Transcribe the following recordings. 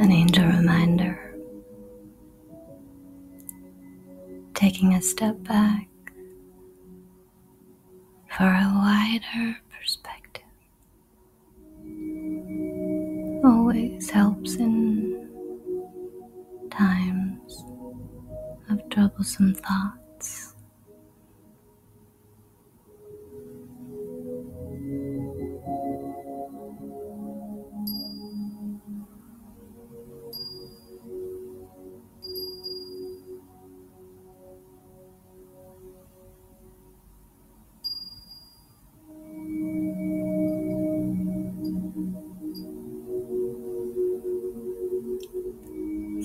An angel reminder Taking a step back for a wider perspective always helps in times of troublesome thoughts.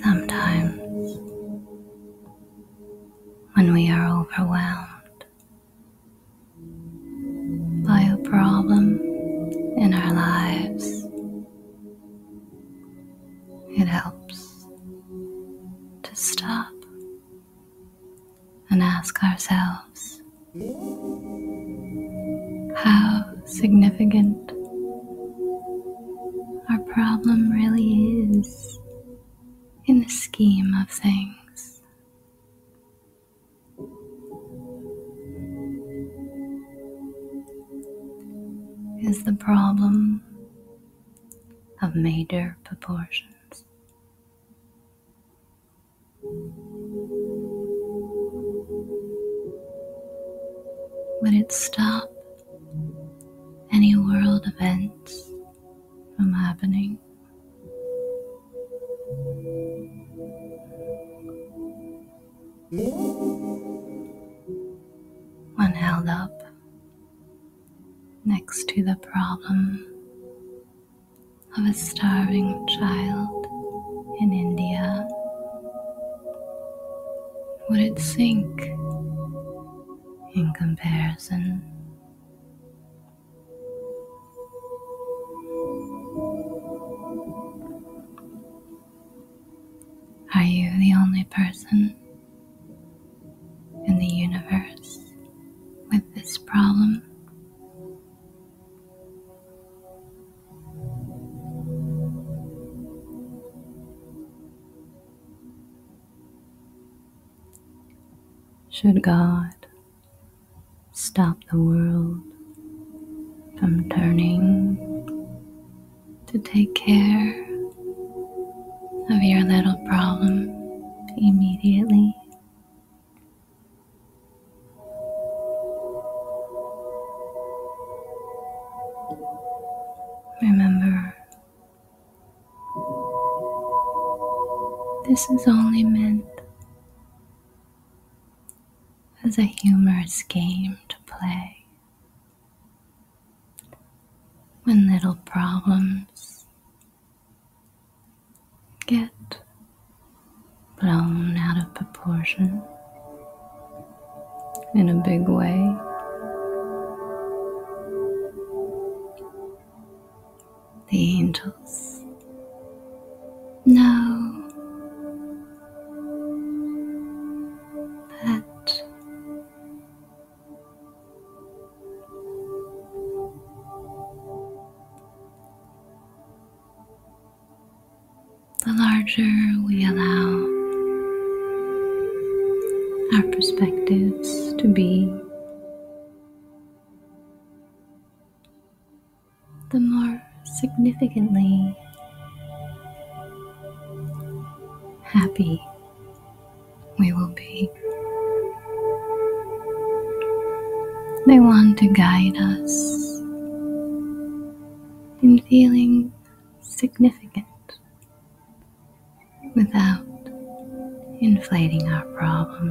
Sometimes, when we are overwhelmed by a problem in our lives. It helps to stop and ask ourselves how significant our problem really is in the scheme of things is the problem of major proportions. Would it stop any world events from happening? When held up next to the problem of a starving child in India. Would it sink in comparison? Are you the only person in the universe with this problem? Should God stop the world from turning to take care of your little problem immediately. Remember, this is only meant as a humorous game to play. When little problems get blown out of proportion in a big way. The angels now that the larger we allow our perspectives to be, the more significantly happy we will be. They want to guide us in feeling significant without inflating our problems.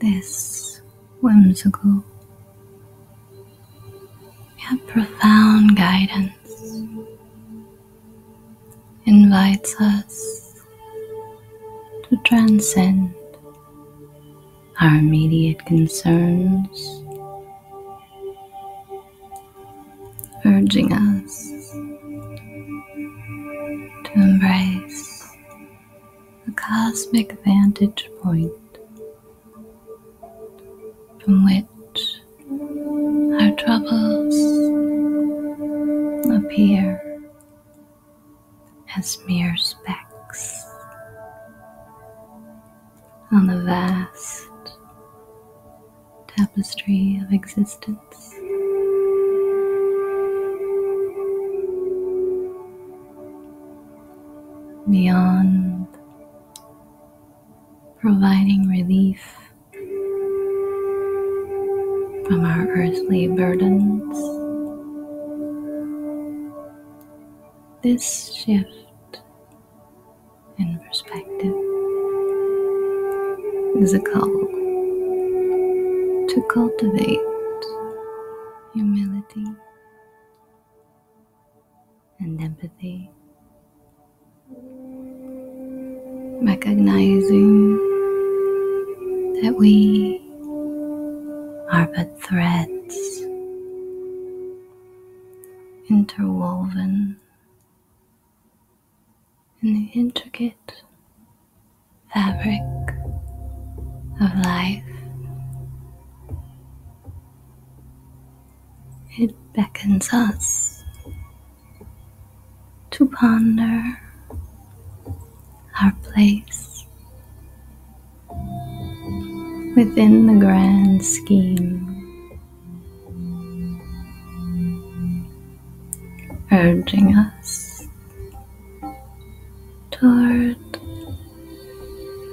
This whimsical yet profound guidance invites us to transcend our immediate concerns, urging us to embrace the cosmic vantage point from which our troubles appear as mere specks on the vast tapestry of existence. Beyond providing relief from our earthly burdens. This shift in perspective is a call to cultivate humility and empathy, recognizing that we are but threads interwoven in the intricate fabric of life. It beckons us to ponder our place within the grand scheme. Urging us toward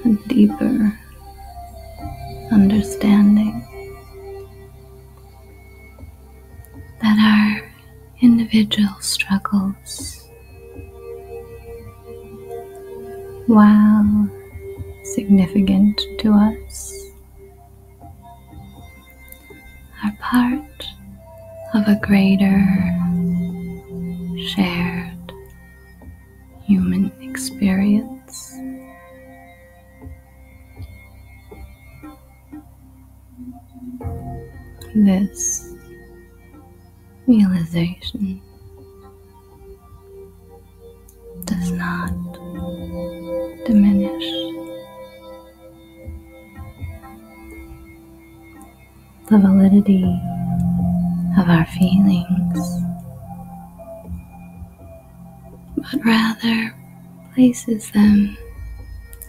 a deeper understanding that our individual struggles while significant to us are part of a greater shared human experience. This realization does not diminish the validity of our feelings, but rather places them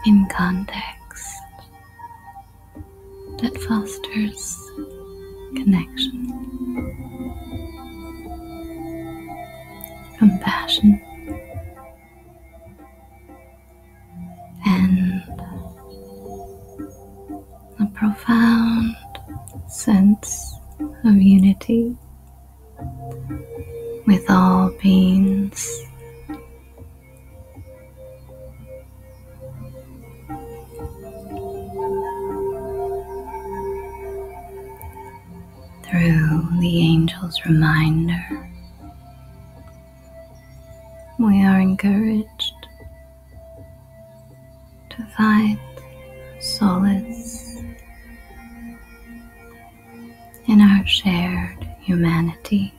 in context that fosters connection, compassion, and a profound sense of unity with all beings through the angel's reminder, we are encouraged to find solace in our shared humanity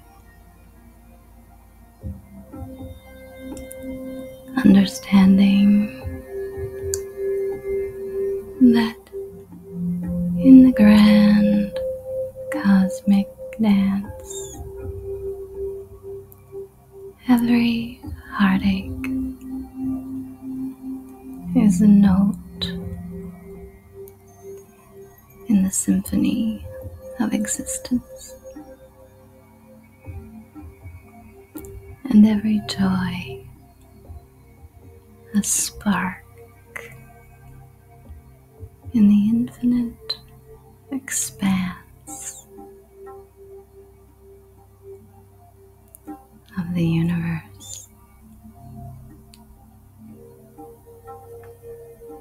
understanding that in the grand cosmic dance, every heartache is a note in the symphony of existence. And every joy a spark in the infinite expanse of the universe.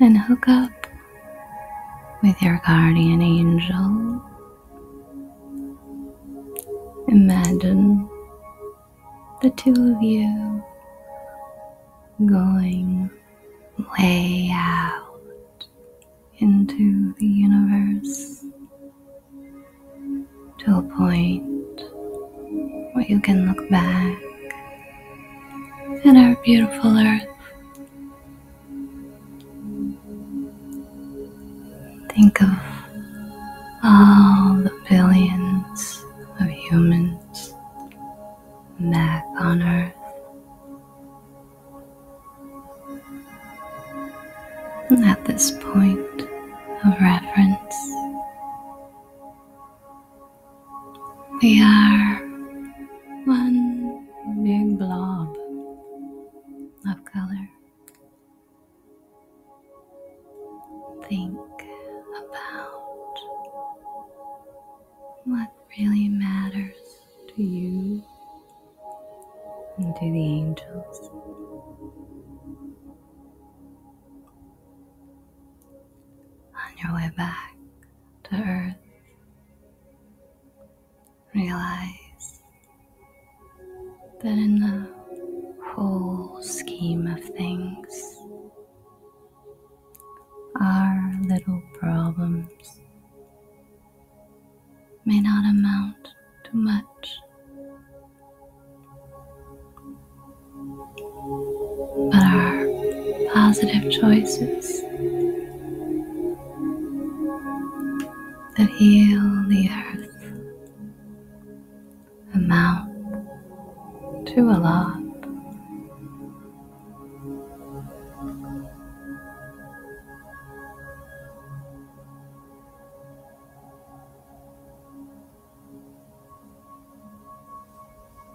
and hook up with your guardian angel. Imagine the two of you going way out into the universe to a point where you can look back at our beautiful earth Think of all the billions of humans back on Earth. At this point of reference, we are one big blob of color. Think about what really matters to you and to the angels. On your way back to Earth, realize that in the whole scheme of things, our little problems may not amount to much. But our positive choices that heal the earth, amount to a lot.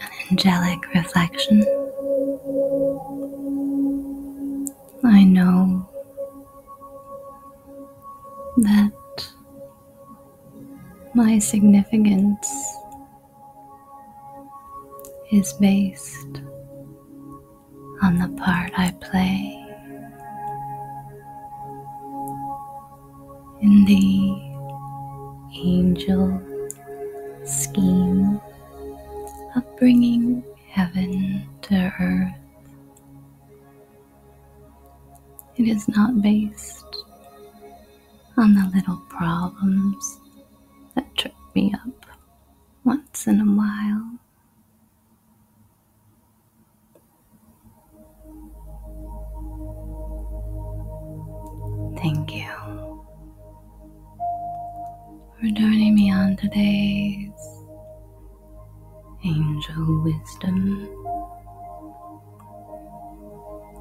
an angelic reflection. I know that my significance is based on the part I play in the angel scheme of bringing heaven to earth. It is not based on the little problems that trip me up once in a while. Thank you for joining me on today's Angel Wisdom.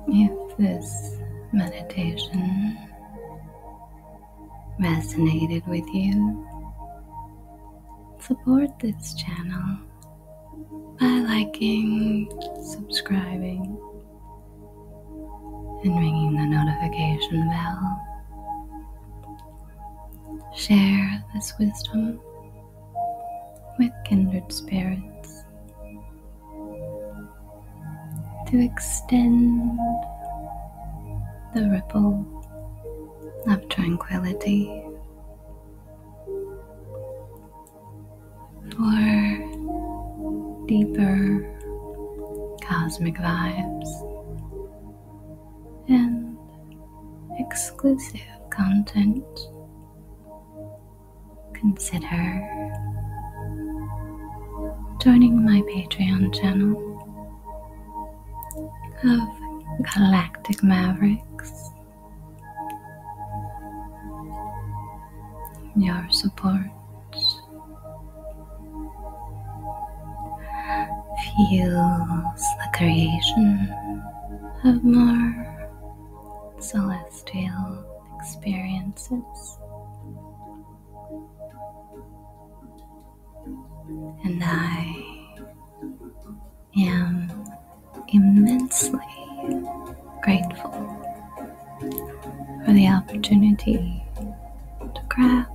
If this meditation resonated with you, support this channel by liking, subscribing, and ringing the notification bell. Share this wisdom with kindred spirits to extend the ripple of tranquility for deeper cosmic vibes and exclusive content, consider joining my Patreon channel of Galactic Mavericks your support. fuels the creation of more celestial experiences. And I am immensely grateful for the opportunity to craft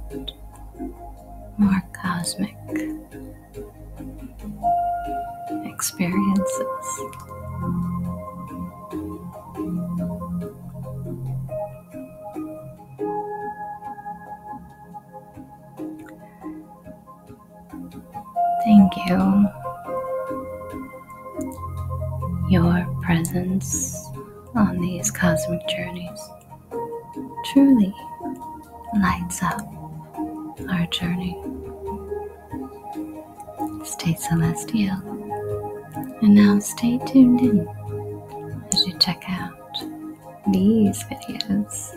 more cosmic experiences. Thank you your presence on these cosmic journeys truly lights up our journey. Stay celestial and now stay tuned in as you check out these videos.